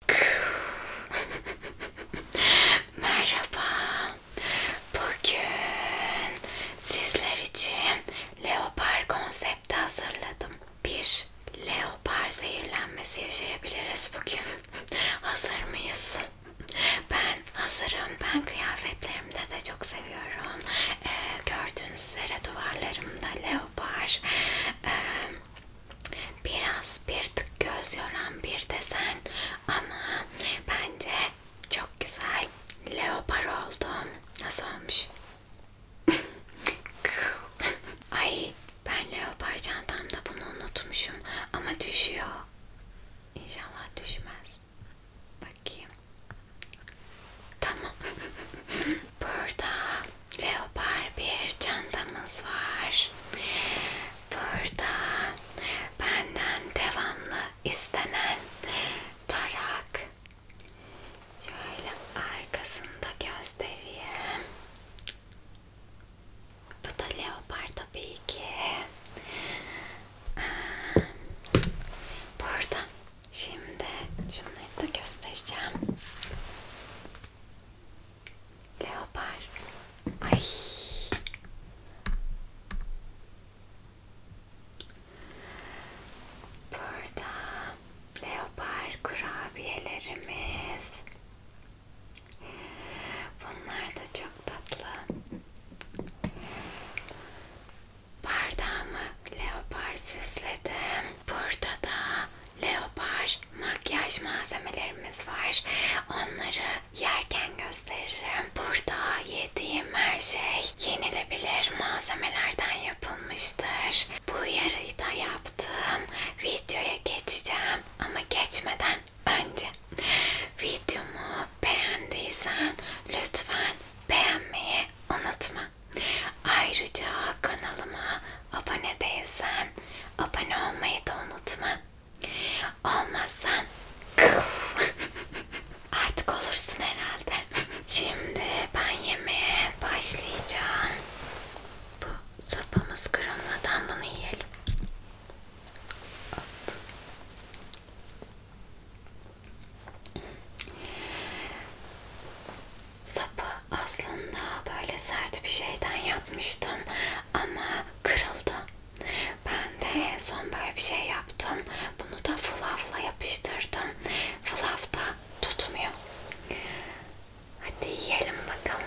Merhaba. Bugün sizler için leopar konsepti hazırladım. Bir leopar zehirlenmesi yaşayabiliriz bugün. Hazır mıyız? Ben hazırım. Ben kıyafetlerimde de çok seviyorum. Ee, gördüğünüz üzere duvarlarımda leopar. Ee, Biraz bir tık göz yoran bir desen ama bence çok güzel leopar oldum. Nasıl olmuş? Ay ben leopar çantamda bunu unutmuşum ama düşüyor. İnşallah düşmez. Bakayım. Tamam. Burada leopar bir çantamız var. Burada benden devamlı istenen tarak. Şöyle arkasında göstereyim. Bu da leopar tabii ki. Ee, burada. Şimdi şunları da göstereceğim. Leopar. Ay. Burada leopar kurabiyelerimiz. Bunlar da çok tatlı. Bardağımı leopar süsledim. Burada da leopar makyaj malzemelerimiz var. Onları yerken gösteririm. Burada yediğim her şey yenilebilir malzemelerden yapılmıştır. Bu yarıyı da yaptım. Videoya geçeceğim ama geçmeden önce videomu beğendiysen lütfen beğenmeyi unutma. Ayrıca kanalıma abone değilsen abone olmayı da unutma. Olmazsan artık olursun herhalde. Şimdi ben yemeğe başlayacağım. Bu sapımız kırılmadan bunu yiyelim. Hop sapı aslında böyle sert bir şeyden yapmıştım ama kırıldı. Ben de en son böyle bir şey yaptım. Bunu da fluffla yapıştırdım. Fluff da tutmuyor. Hadi yiyelim bakalım.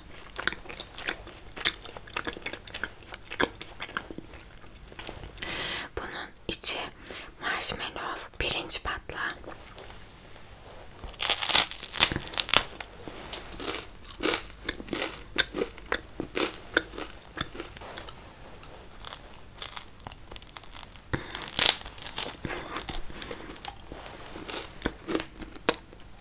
Bunun içi marshmallow, pirinç patlağı.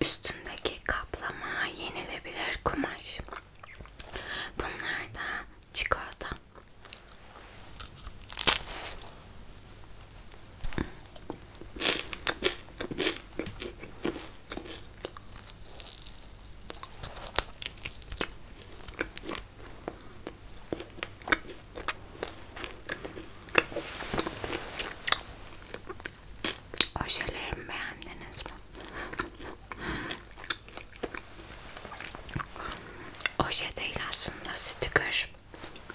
Üstündeki kaplama yenilebilir kumaş. Bunlar da çikolata. Ojelerimi beğendiniz mi? Oje şey değil aslında sticker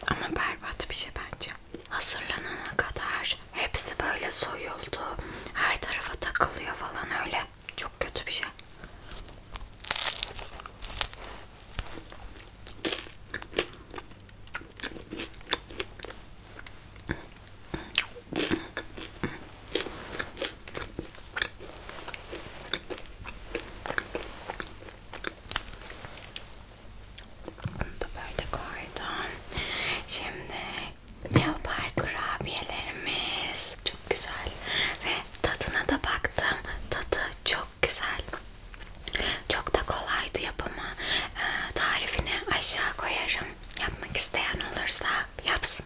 ama berbat bir şey bence. Hazırlanana kadar hepsi böyle soyuldu, her tarafa takılıyor falan öyle. Çok kötü bir şey. Bunu da böyle koydum. Şimdi leopar kurabiyelerimiz çok güzel ve tadına da baktım. Tadı çok güzel. Çok da kolaydı yapımı. E, tarifini aşağı koyarım. Yapmak isteyen olursa yapsın.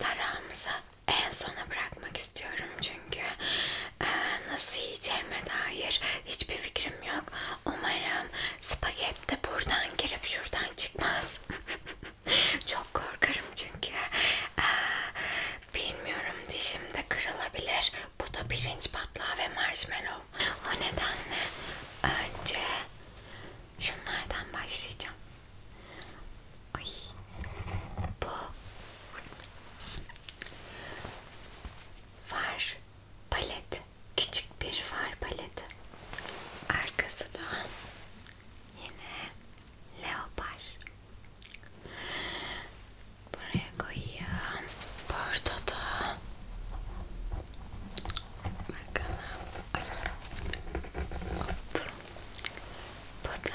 Tarağımızı en sona bırakmak istiyorum çünkü nasıl yiyeceğime dair hiçbir fikrim yok. Umarım spagetti de buradan girip şuradan çıkmaz. Çok korkarım çünkü. Bilmiyorum dişimde kırılabilir. Bu da pirinç patlağı ve marshmallow. O nedenle önce şunlardan başlayacağım. Ay, bu Far palet. Küçük bir far paleti. Arkası da yine leopar. Buraya koyayım. Burada da bakalım. Ay. Hop. Bu da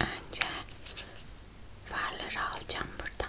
Önce farları alacağım buradan.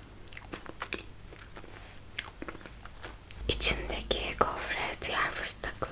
İçindeki gofret yer fıstıklı.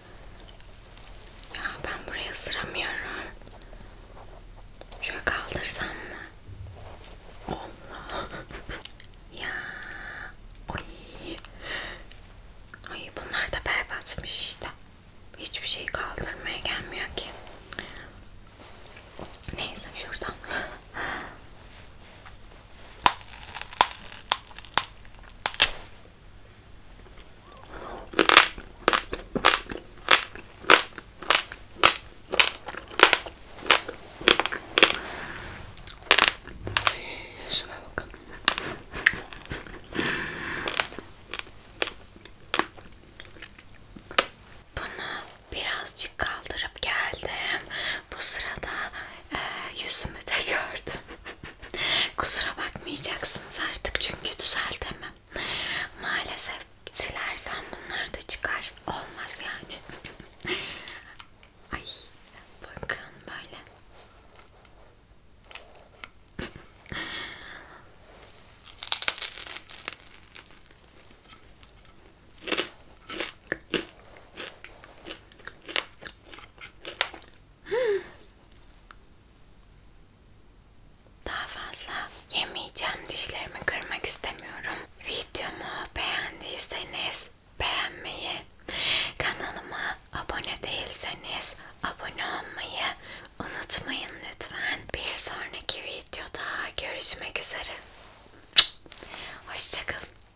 Ya ben buraya ısıramıyorum. Şöyle kaldırsam mı? Allah. ya. Ay. Ay bunlar da berbatmış işte. Hiçbir şey kaldırmaya gelmiyor ki. Neyse şuradan. Şuna bakın. Bunu birazcık kaldırıp geldim. Bu sırada e, yüzümü de gördüm. Kusura bakmayacaksınız artık çünkü düzeltemem. Maalesef silersen bunlar da çıkar. Olmaz yani. Ay bakın böyle. Daha fazla yemeyeceğim. Dişlerimi kırmak istemiyorum. Videomu beğendiyseniz beğenmeyi, kanalıma abone değilseniz abone olmayı unutmayın lütfen. Bir sonraki videoda görüşmek üzere. Hoşçakalın.